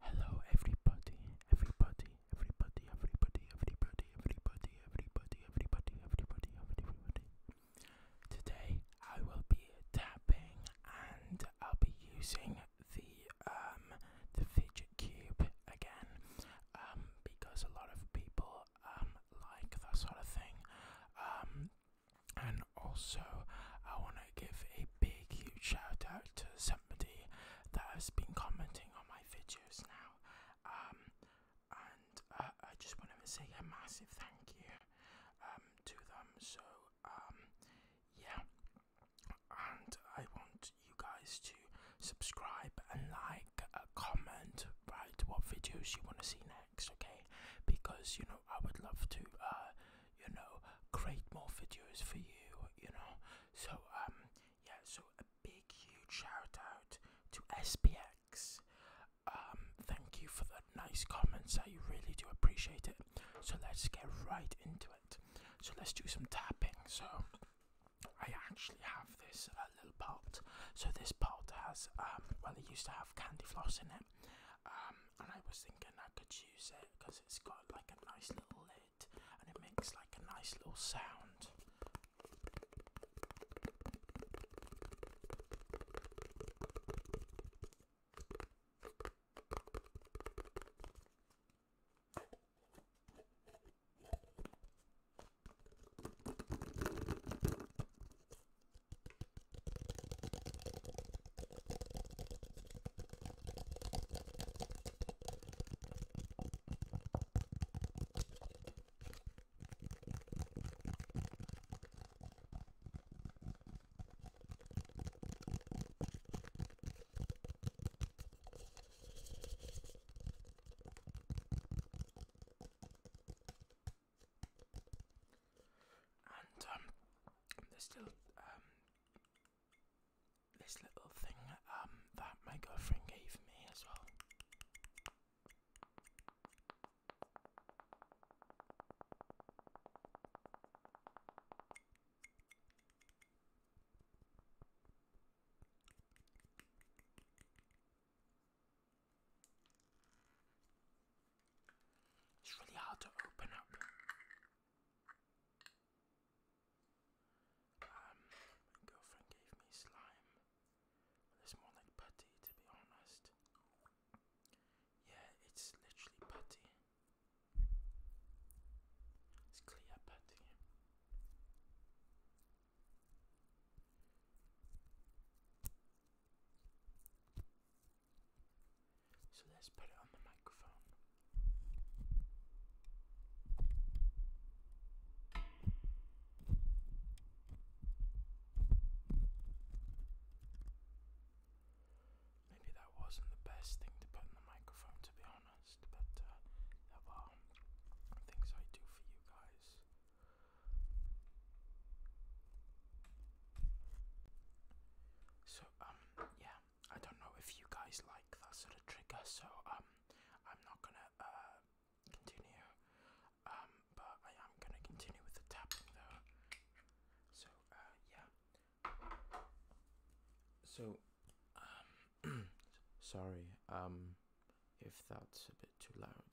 Hello, everybody, everybody, everybody, everybody, everybody, everybody, everybody, everybody, everybody, everybody. Today I will be tapping, and I'll be using the um the fidget cube again, um because a lot of people um like that sort of thing, um. And also, I want to give a big huge shout out to somebody that has been commenting on my videos now um, and uh, I just wanted to say a massive thank you um, to them so um, yeah and I want you guys to subscribe and like uh, comment right what videos you want to see next okay because you know I would love to uh, you know, create more videos for you, you know. So, um, yeah, so a big, huge shout out to SPX. Um, thank you for the nice comments. I really do appreciate it. So let's get right into it. So let's do some tapping. So I actually have this uh, little pot. So this pot has, um, well, it used to have candy floss in it. Um, and I was thinking I could use it because it's got like a nice little lid and it makes like a nice little sound. And um, there's still um, this little thing um, that my girlfriend gave me as well. It's really hard to open up. Um, my girlfriend gave me slime. it's more like putty, to be honest. Yeah, it's literally putty. It's clear putty. So let's put it on the microphone. Maybe that wasn't the best thing to put in the microphone, to be honest, but there uh, are things I do for you guys. So, um, yeah, I don't know if you guys like that sort of trigger, so um, I'm not gonna uh continue, um, but I am gonna continue with the tapping though. So uh, yeah. So, um, sorry, um, if that's a bit too loud.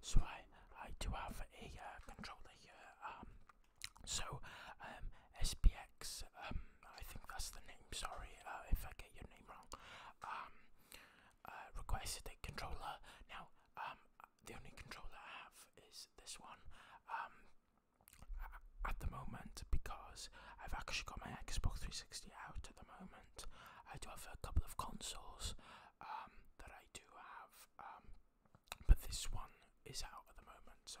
So I I do have a uh, controller here. Um, so um, SPX. Um, I think that's the name. Sorry uh, if I get your name wrong. Um, uh, requested a controller. Now the only controller I have is this one. at the moment because I've actually got my Xbox 360 out at the moment. I do have a couple of consoles um, that I do have, um, but this one is out at the moment, so.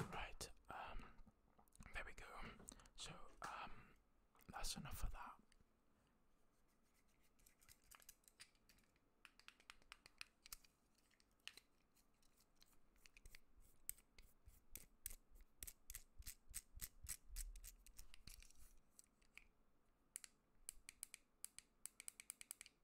Right, um, there we go. So, um, that's enough for that.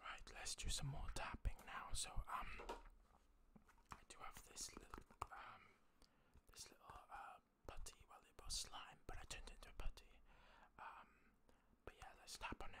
Right, let's do some more tapping now. So um, I do have this little um, this little uh putty. Well, it was slime, but I turned it into a putty. Um, but yeah, let's tap on it.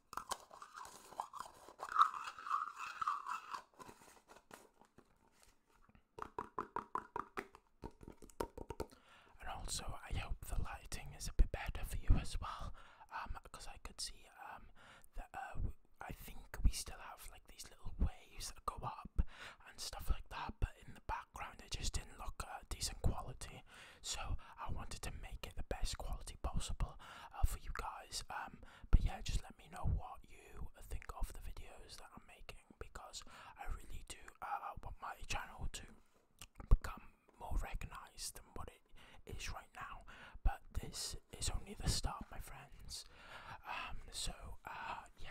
And also, I hope the lighting is a bit better for you as well, because um, I could see um, that uh, I think we still have like these little waves that go up and stuff like that, but in the background it just didn't look uh, decent quality. So I wanted to make it the best quality possible uh, for you guys. Um, but yeah, just let me know what you think of the videos that I'm making because I really do uh, want my channel to become more recognized than what it is right now. But this is only the start, my friends. Um, so uh, yeah.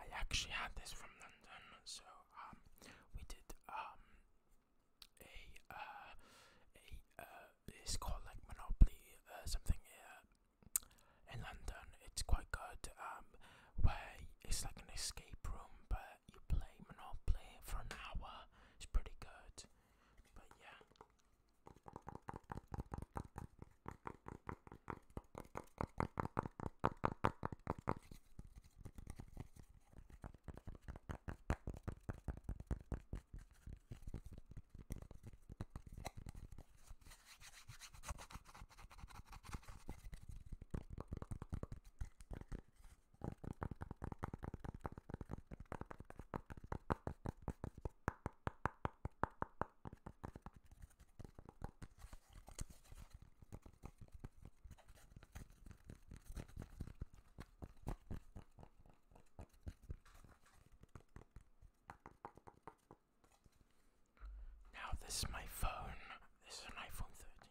I actually had this from London, so um, we did um, a uh, a uh, it's called like Monopoly uh, something here uh, in London. It's quite good. Um, where it's like an escape room, but you play Monopoly for an hour. It's pretty good, but yeah. Now this is my phone. This is an iPhone 13.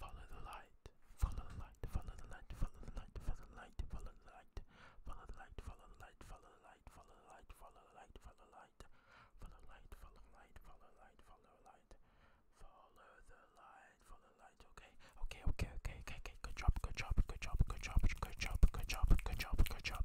Follow the light, follow the light, follow the light, follow the light, follow the light, follow the light, follow the light, follow the light, follow the light, follow the light, follow the light, follow the light, follow the light, follow the light, follow the light, follow the light, follow the light, follow the light, okay, okay, okay, okay, okay, okay, good job, good job, good job, good job, good job, good job, good job, good job.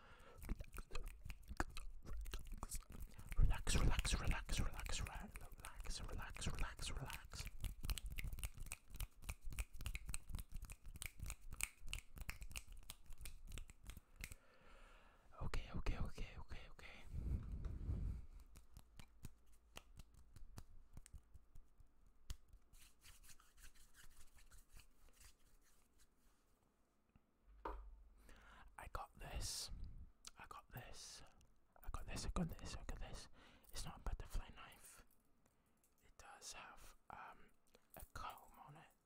Relax, relax, relax, relax, relax, relax, relax, relax. Okay, okay, okay, okay, okay. I got this. I got this. I got this. I got this. I got this. It's not a butterfly knife. It does have um, a comb on it.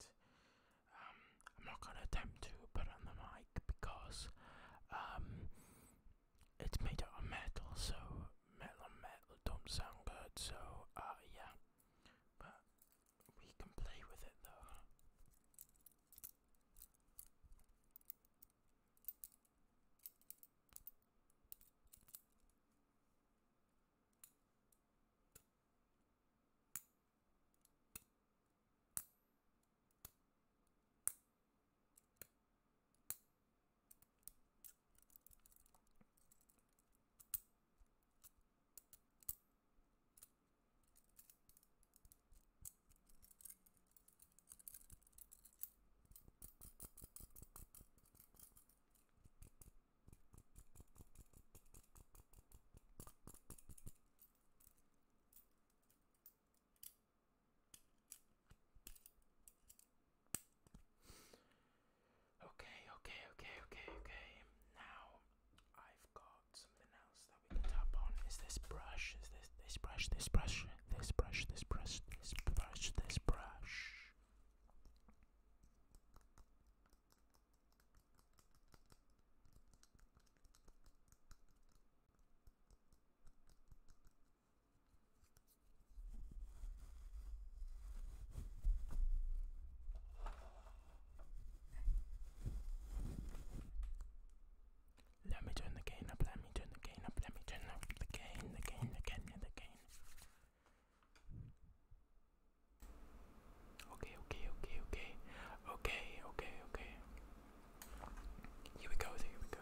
Um, I'm not gonna attempt to put on the mic because um, it's made out of metal, so metal and metal don't sound good. So uh, yeah, but we can play with it though. Okay, okay, okay, okay, okay. Now I've got something else that we can tap on is this brush. Is this this brush? This brush? This brush? This brush? This brush? This brush? Let me turn the cane up, let me turn the cane up, let me turn up the cane, the cane, the cane, the cane. Okay, okay, okay, okay. Okay, okay, okay. Here we go, here we go.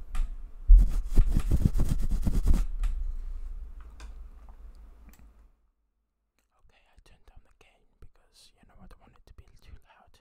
Okay, I turned down the gain because you know I don't want it to be too loud.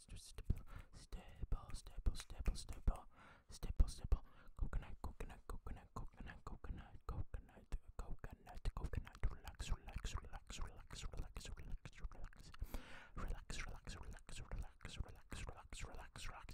stipple, stipple, stipple, stipple, stipple, stipple, stipple, stipple, coconut, coconut, coconut, coconut, coconut, coconut, coconut, coconut, relax, relax, relax, relax, relax, relax, relax, relax, relax, relax, relax, relax, relax, relax, relax.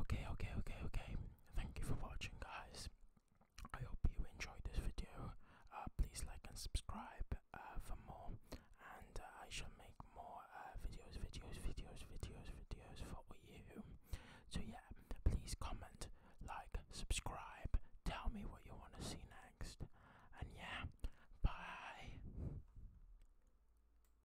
Okay, okay, okay, okay. Thank you for watching, guys. I hope you enjoyed this video. Uh, please like and subscribe uh, for more, and uh, I shall make more uh, videos, videos, videos, videos, videos for you. So yeah, please comment, like, subscribe. Tell me what you want to see next, and yeah, bye.